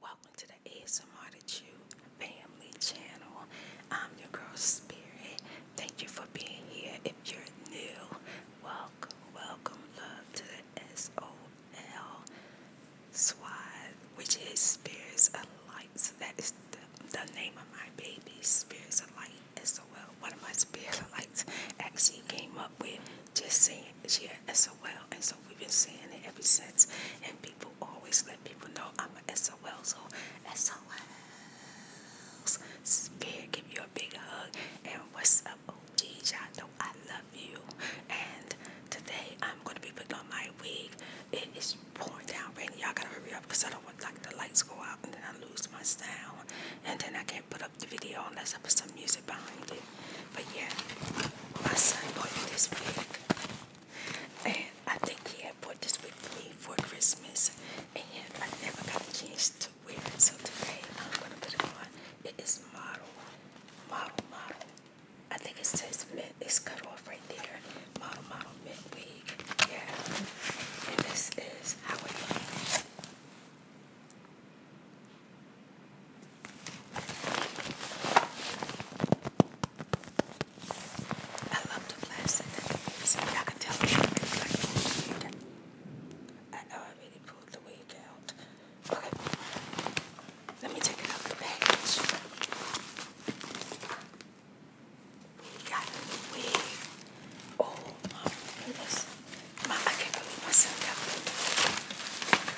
Welcome to the ASMR to you family channel. I'm your girl Spirit. Thank you for being here. If you're new, welcome, welcome, love to the SOL Squad, which is Spirits of Light. So that is the, the name of my baby, Spirits of Light SOL. One of my Spirit of Lights actually came up with just saying this year SOL. And so we've been saying it ever since. And people always let people know I'm a SOL. So SOLs. Spirit, give you a big hug. And what's up, OG? Y'all know I love you. And today I'm going to be putting on my wig. It is pouring down rain. Y'all got to hurry up because I don't want like the lights go out and then I lose my sound. And then I can't put up the video unless I put some music behind it. But yeah, my son bought this wig. And I think he had bought this wig for me for Christmas. And I never got a chance to wear it. So today I'm going to put it on. It is model, model, model. I think it says mint. It's cut off right there. Model, model, mint wig. Yeah. And this is how it looks. I love the plastic. See, I can tell you, I know I really pulled the wig out. Okay, let me take it out of the package. We got a wig. Oh my goodness. I can't believe myself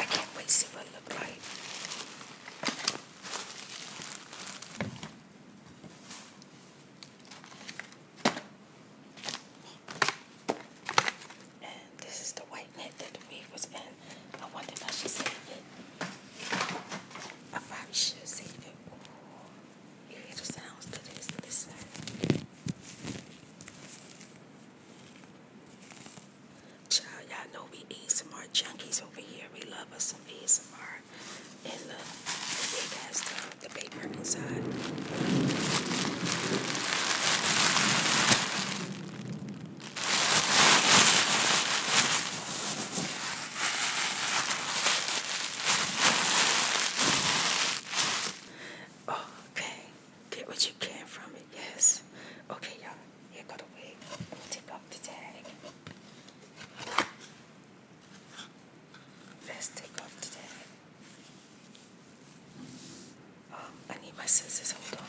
I can't wait to see what it looks like. And this is the white net that the wig was in. I wonder if I should save it. I probably should save it. you hear the sounds to Listen. Child, y'all know we eat ASMR junkies over here. We love us some ASMR. And look, the big has the, the paper inside. Okay, get what you can from it, yes. Okay, y'all. You gotta wait. take off the tag. Let's take off the tag. Um, I need my scissors. Hold on.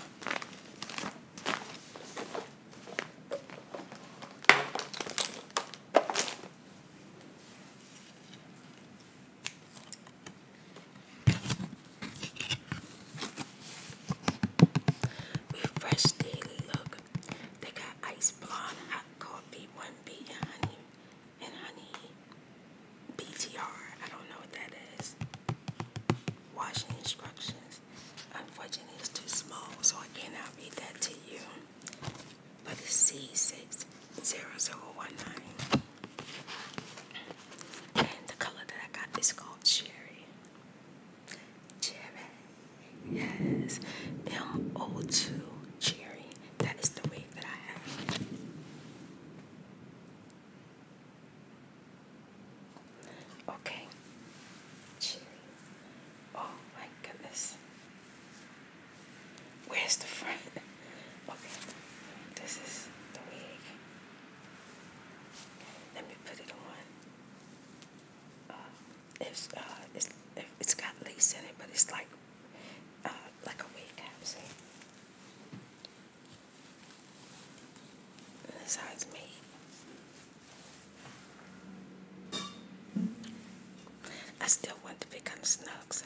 Refresh daily look. They got ice blonde, hot coffee, one bean, honey, and honey. BTR. I don't know what that is. Washing instructions. Unfortunately, it's too small, so I cannot read that to you. But the C60019. And the color that I got is called Cherry. Cherry. Yes. M02 Cherry. That is the wig that I have. Okay. Oh my goodness. Where's the front? Okay. This is the wig. Let me put it on. Uh, it's uh, it's it's got lace in it, but it's like uh, like a wig cap. See, and that's how it's I still want to become snug, so.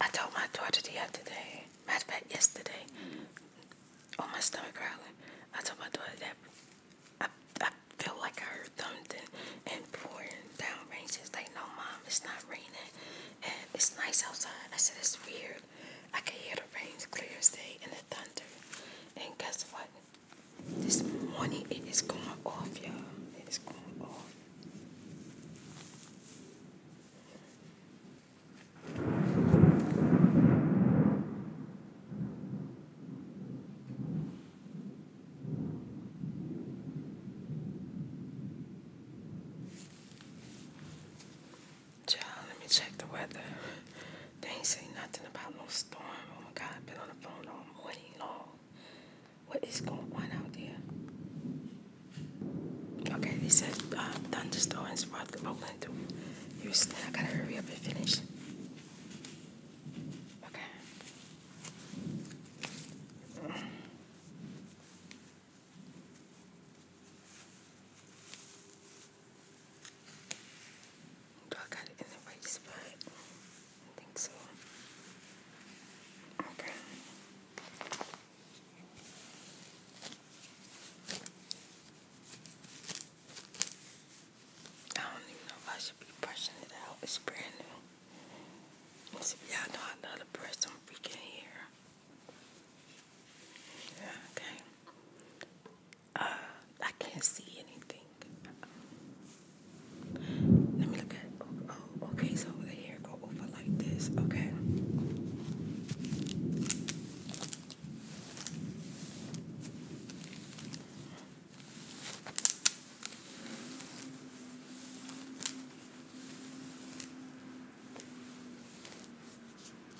I told my daughter the other day, matter of fact, yesterday, on my stomach growling, I told my daughter that I, I feel like I heard thumping and pouring down rain. She's like, no, mom, it's not raining. And it's nice outside. I said, it's weird. I can hear the rain's clear as day and the thunder. And guess what? This morning it is going off, y'all. It is going off. Child, let me check the weather. They ain't say nothing about no storm. Oh my God, I've been on the phone all morning long. What is going on out there? Okay, they said uh, thunderstorms brought Oakland through Houston. I gotta hurry up and finish. Okay. Do I got it in the right spot? I think so. Okay. I don't even know if I should be brushing it out. It's brand new. Y'all know I to brush some freaking hair. Okay. Uh, I can't see anything. Let me look at. Oh, oh okay, so the hair go over like this. Okay.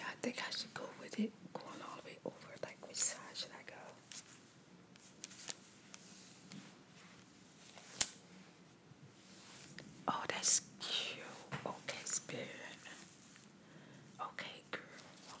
I think I should go with it going all the way over. Like, which side should I go? Oh, that's cute. Okay, spirit. Okay, girl.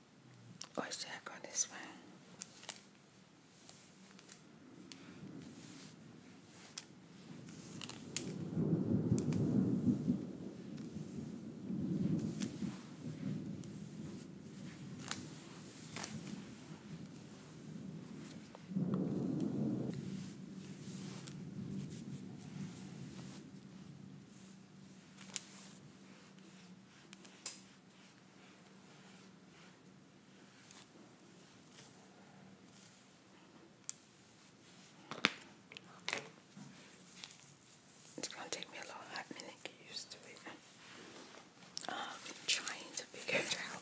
Or should I go this way? It's gonna take me a long hot minute to get used to it. I'm um, trying to figure it out.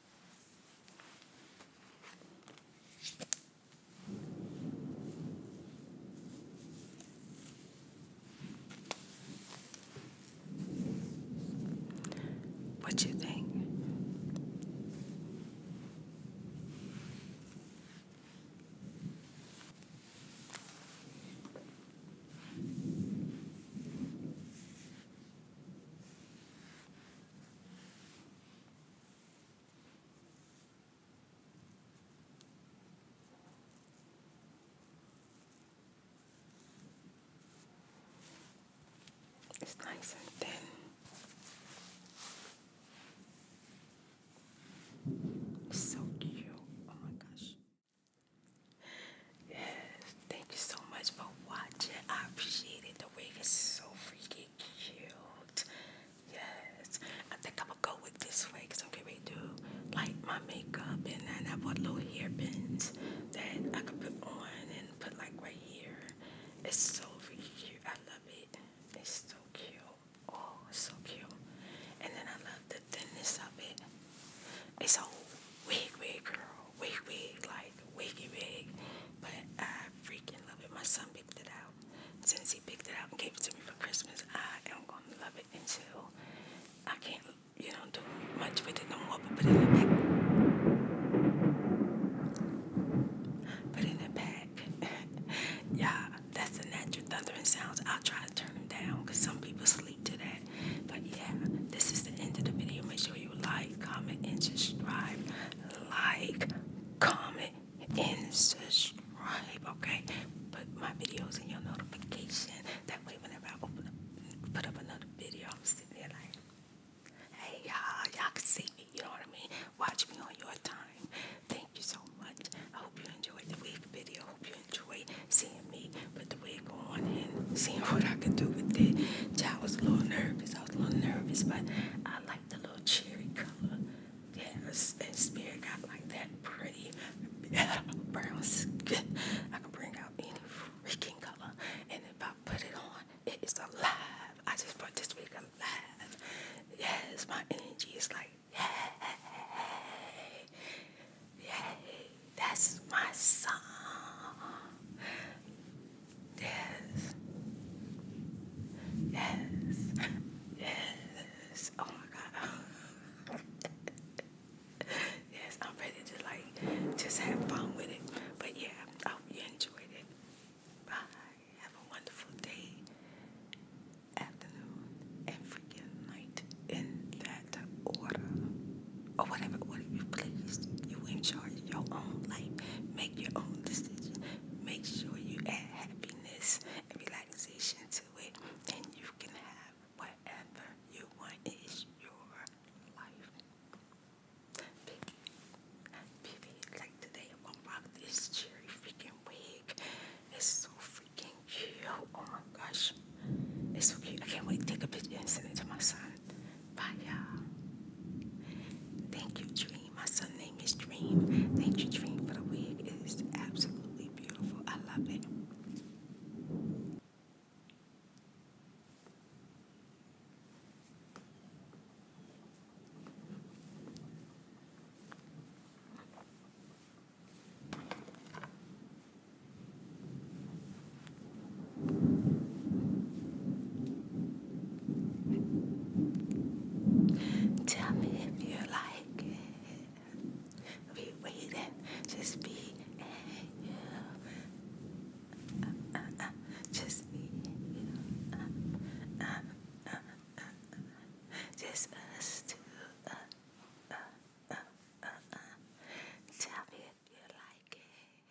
What you think? It's nice and thin. so cute. Oh my gosh. Yes, thank you so much for watching. I appreciate it. The wig is so freaking cute. Yes. I think I'm gonna go with this way because I'm gonna do like my makeup and then I bought little hairpins that I could put on and put like right here. It's so really cute. I love it. It's so cute. Oh, so cute. And then I love the thinness of it. It's a wig, wig, girl. Wig, wig. Like, wiggy wig, but I freaking love it. My son picked it out. Since he picked it out and gave it to me for Christmas, I am gonna love it until I can't, you know, do much with it no more. But put it in the back. Put in the back. yeah, that's the natural thundering sounds. I'll try to turn them down because some people sleep to that. But yeah, this is the end of the video. Make sure you like, comment, and subscribe like, comment, and subscribe. Okay, put my videos in your notification. That way, whenever I open up, put up another video, I'm sitting there like, hey y'all, y'all can see me. You know what I mean? Watch me on your time. Thank you so much. I hope you enjoyed the wig video. Hope you enjoyed seeing me put the wig on and seeing what I can do with it. Child was a little nervous. I was a little nervous, but I like the little cherry color. Yeah, and, Spirit got like that pretty brown skin. I can bring out any freaking color. And if I put it on, it is alive. I just put this week alive. Yes, my energy is like, yeah, yay. That's my song. Yes. Yes. Yes. Oh my God. yes, I'm ready to like just have fun with it. But yeah, I hope you enjoyed it. Bye. Have a wonderful day, afternoon, and freaking night in that order. Or whatever order you please. You in your own life. Make your own decision. Make sure you add happiness and relaxation to it, and you can have whatever you want. is your life. Baby, like today, I'm gonna rock this cherry freaking wig. It's so freaking cute. Oh my gosh, it's so cute. I can't wait to take a picture and send it to my son. Bye, y'all. Thank you, Dream. My son' name is Dream. Thank you, Dream, for the wig. It is absolutely beautiful. I love it. Tell me if you like it. We waiting, just be and you. just be and you. Just us two. Tell me if you like it.